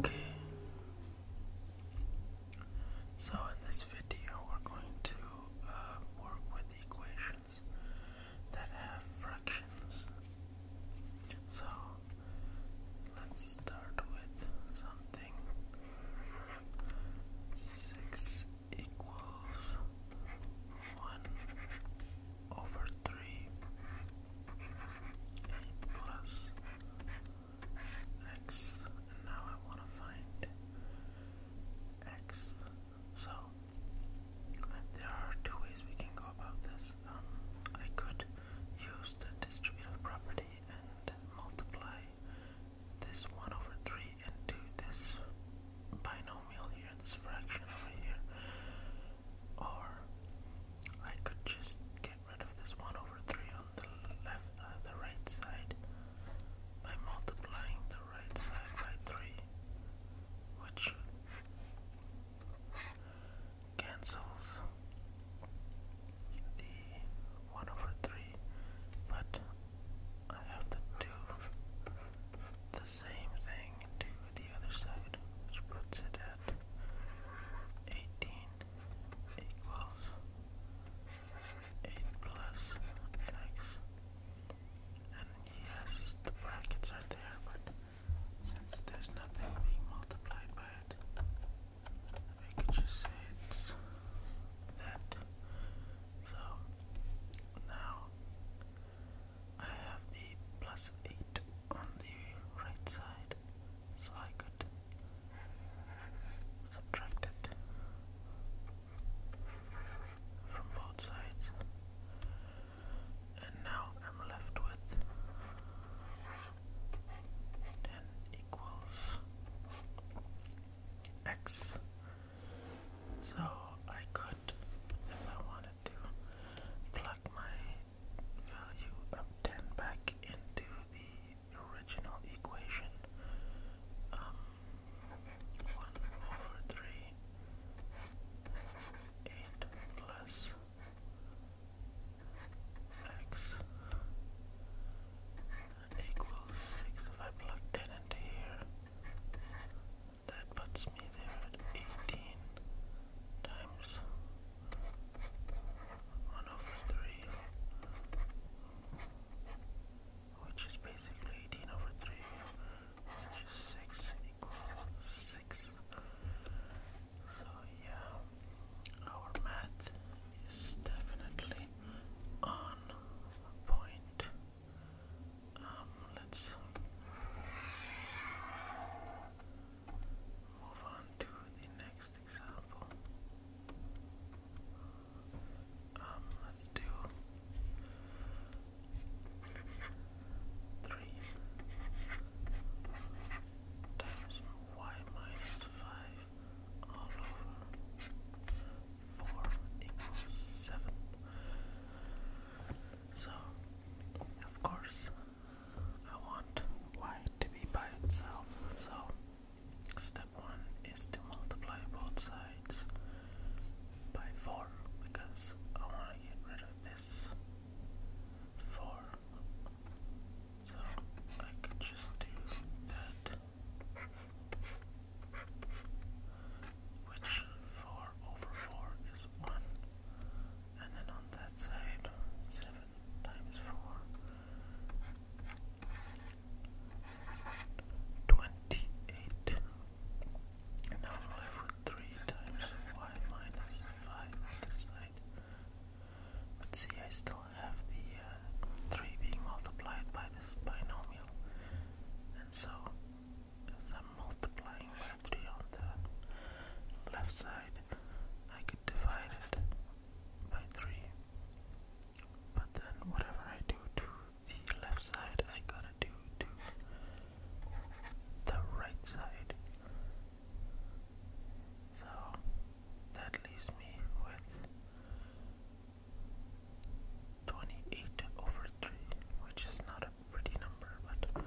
Okay, so in this video, we're going to uh, work with equations that have fractions. So let's start with something 6 equals 1 over 3 plus x. And now I want to find x. So there are two ways we can go about this. Um, I could use the distributive property and multiply this 1 over 3 into this binomial here, this fraction over here. Or I could just get rid of this 1 over 3 on the left, uh, the right side by multiplying the right side by 3, which cancels the 1 over 3, but I have to do the same thing to the other side, which puts it at 18 equals 8 plus x. And yes, the brackets are there, but since there's nothing being multiplied by it, we could just say that so now I have the plus 8 on the right side, so I could subtract it from both sides, and now I'm left with 10 equals x so I could, if I wanted to, plug my value of 10 back into the original equation. Um, 1 over 3, 8 plus x equals 6. If I plug 10 into here, that puts me there at 18 times 1 over 3, which is basically 18 over 3, which is 6 equals 6. So, yeah, our math Yes, definitely on point. Um, let's move on to the next example. Um, let's do three times y minus five all over four equals seven. So, of course, I want y to be by itself. So, step one is to multiply both sides by four because I want to get rid of this four. So I could just do that which 4 over 4 is 1, and then on that side, 7 times 4. Now I'm left with 3 times y minus 5 on this side. But see, I still have the uh, 3 being multiplied by this binomial, and so as I'm multiplying by 3 on the left side, I could divide it by 3. But then, whatever I do to the left side, I gotta do to the right side. So that leaves me with 28 over 3, which is not a pretty number, but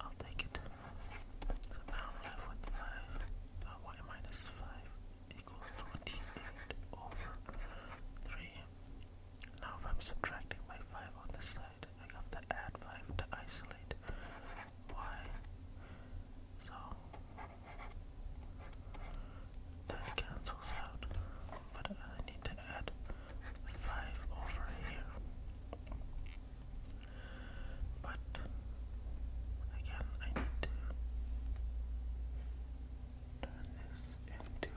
I'll take it. So now I'm left with 5, uh, y minus 5 equals 28 over 3. Now if I'm subtracting by 5 on the side, I have to add 5 to isolate y so that cancels out, but I need to add 5 over here. But again, I need to turn this into.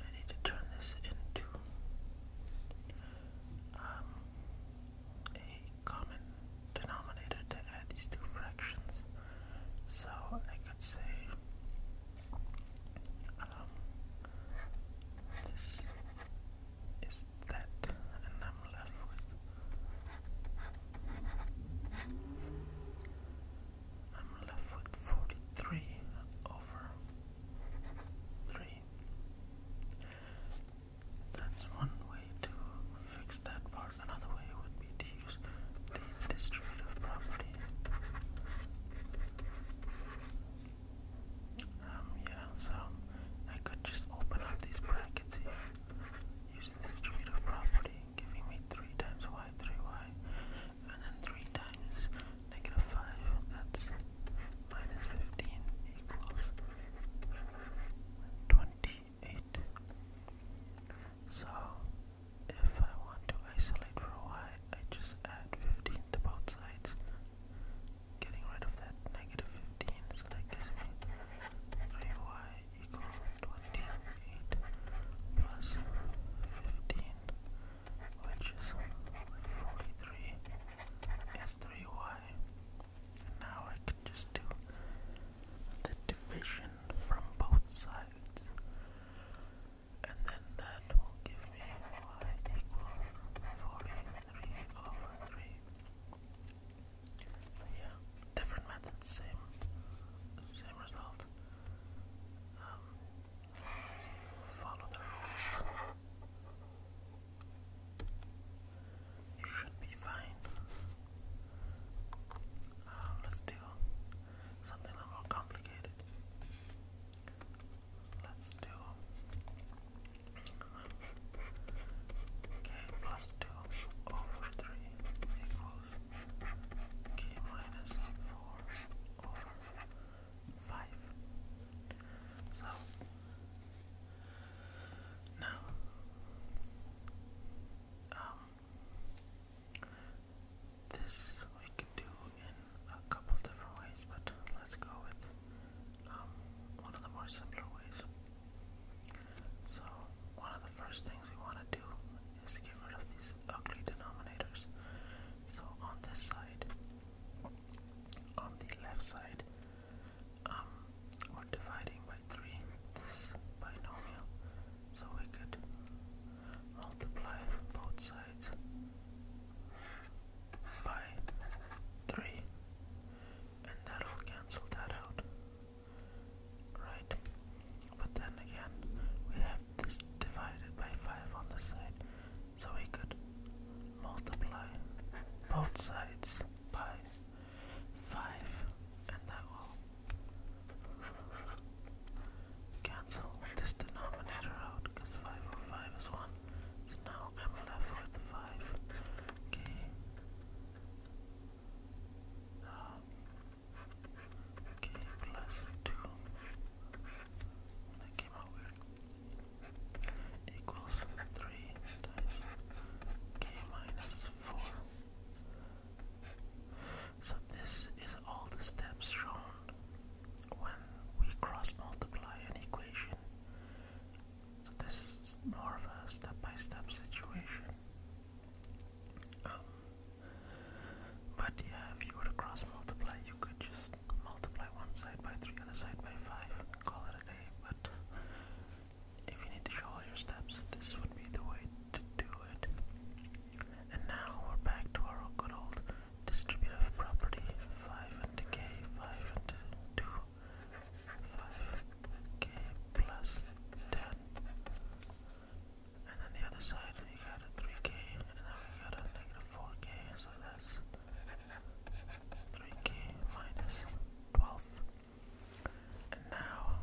I need to turn this into um, a common denominator to add these two fractions. So I could say um, this is that, and I'm left with I'm left with forty three over three. That's one way to fix that part, another way would be to use the distributive property. Um, yeah, so I could just open up these brackets here using the distributive property, giving me 3 times y, 3y, and then 3 times negative 5, that's minus 15 equals 20 eight. So if I want to isolate for y, I just add 15 to both sides, getting rid of that negative 15, so that gives 3y equals 28 plus 15, which is 43, is 3y. Now I can just do the division from both sides, and then that will give me y equals 43 over 3. So yeah, different methods, same, same result. Um, follow the rules you should be fine. Um, let's do something a little complicated. Let's do k plus 2 over 3 equals k minus 4 over 5. So, now, um, this we can do in a couple different ways, but let's go with um, one of the more simpler ways. So, one of the first things we want to do is get rid of these ugly denominators. So, on this side, on the left side, um, or dividing by 3 this binomial, so we could multiply both sides by 3 and that'll cancel that out, right? But then again, we have this divided by 5 on the side, so we could multiply both sides by five, and that will cancel this denominator out because five over five is one. So now I'm left with five. Okay. okay, plus two. That came out weird. Equals three k minus four. So this is all the steps shown when we cross multiply an equation. So this is more of a step-by-step situation. Um, but yeah, if you were to cross multiply, you could just multiply one side by three, other side by five, call it a day. But if you need to show all your steps, this would be the way to do it. And now we're back to our good old distributive property. 5 into k, 5 into 2, 5k plus 10. And then the other side, we got a 3k, and then we got a negative 4k, so that's 3k minus 12. And now,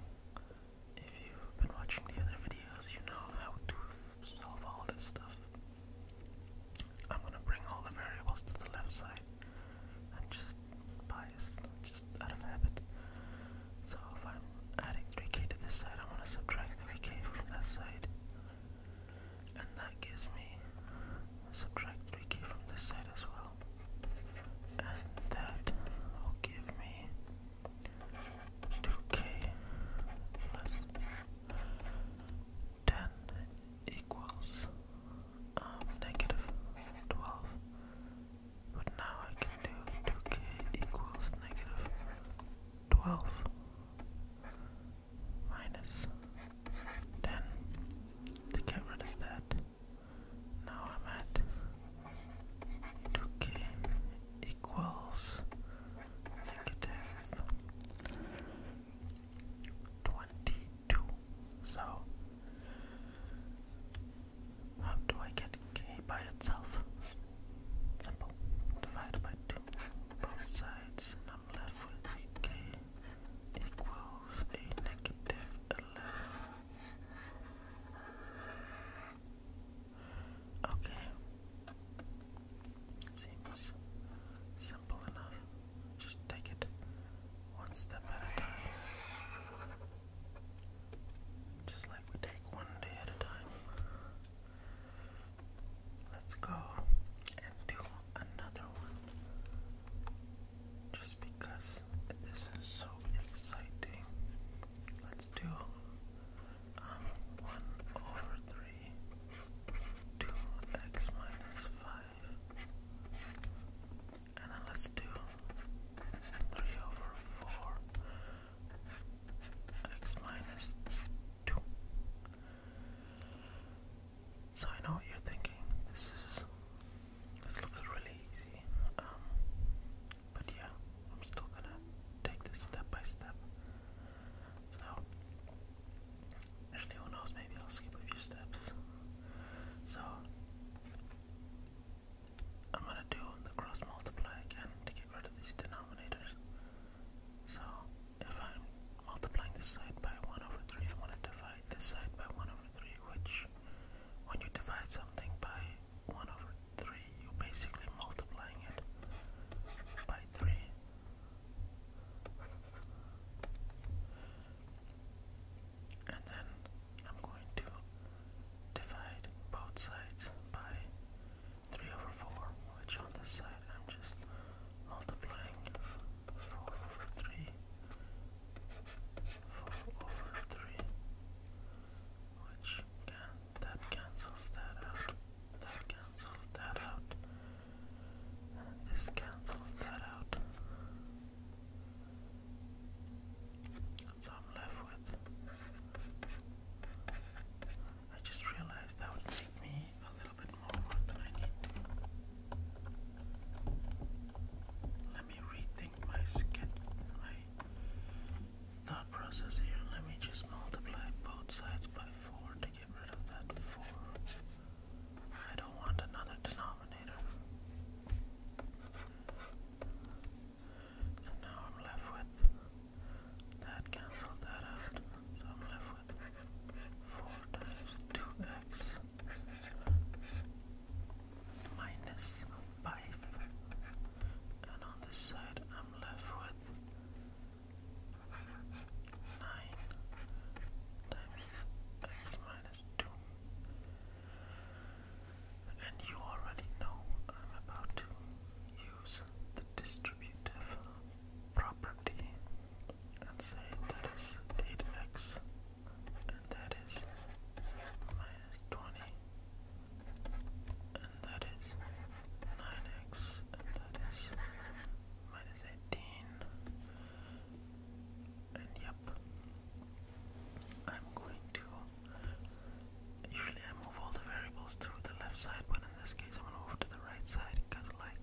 if you've been watching the other videos, you know how to solve all this stuff. I'm gonna bring all the variables to the left side. I'm just biased, just out of habit. So if I'm adding 3k to this side, i want to subtract 3k from that side. And that gives me subtract 3k from this side as well well. And that will give me 2k plus 10 equals um, 12. But now I can do 2k equals negative 12 minus 10 to get rid of that. Now I'm at 2k equals negative 22. So, how do I get k by itself? Simple. Divide by 2. Both sides, and I'm left with k equals a negative 11. Okay. seems simple enough. Just take it one step at a time. Just like we take one day at a time. Let's go and do another one just because this is so exciting. Let's do um, one over three two x minus five and then let's do three over four x minus two. So I know what you're thinking. This is this looks really easy. Um, but yeah, I'm still gonna take this step by step. So, actually, who knows? Maybe I'll skip a few steps. So, I'm gonna do the cross multiply again to get rid of these denominators. So, if I'm multiplying this side by 1 over 3, I want to divide this side by 1 over 3, which when you divide something by 1 over 3, you're basically multiplying it by 3. And then I'm going to divide both sides by 3 over 4, which on this side I'm just multiplying 4 over 3 for over 3, which cancels that out, that cancels that out, and this cancels that out. So i left with. I just realized that would take me a little bit more work than I need to let me rethink my thought process here. Let me just multiply both sides by 4 to get rid of that 4. I don't want another denominator. So now I'm left with that cancel that out. So I'm left with 4 times 2x minus 5 and on this side I'm left with 9 times x minus 2 and you already know I'm about to use the distributive property and say that is 8x and that is minus 20, and that is 9x, and that is minus 18, and yep, I'm going to, usually I move all the variables to the left side, but in this case I'm going to move to the right side, because like,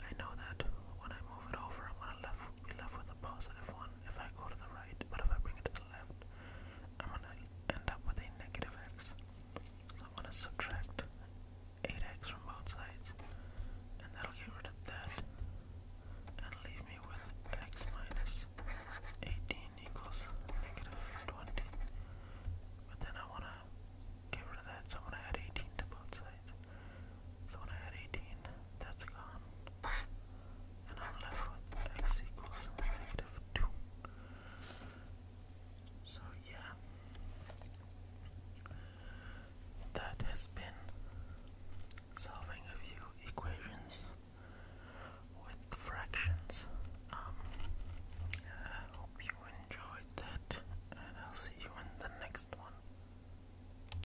I know that when I move it over, I'm to be left with a positive 1 if I go to the right, but if I bring it to the left, I'm gonna end up with a negative x. am gonna subtract 8x from both sides, and that'll get rid of that, and leave me with x minus 18 equals negative 20. But then I wanna get rid of that, so I'm gonna add 18 to both sides. So when I had 18, that's gone. And I'm left with x equals negative 2. So yeah, that has been solving a few equations with fractions. Um, I hope you enjoyed that, and I'll see you in the next one.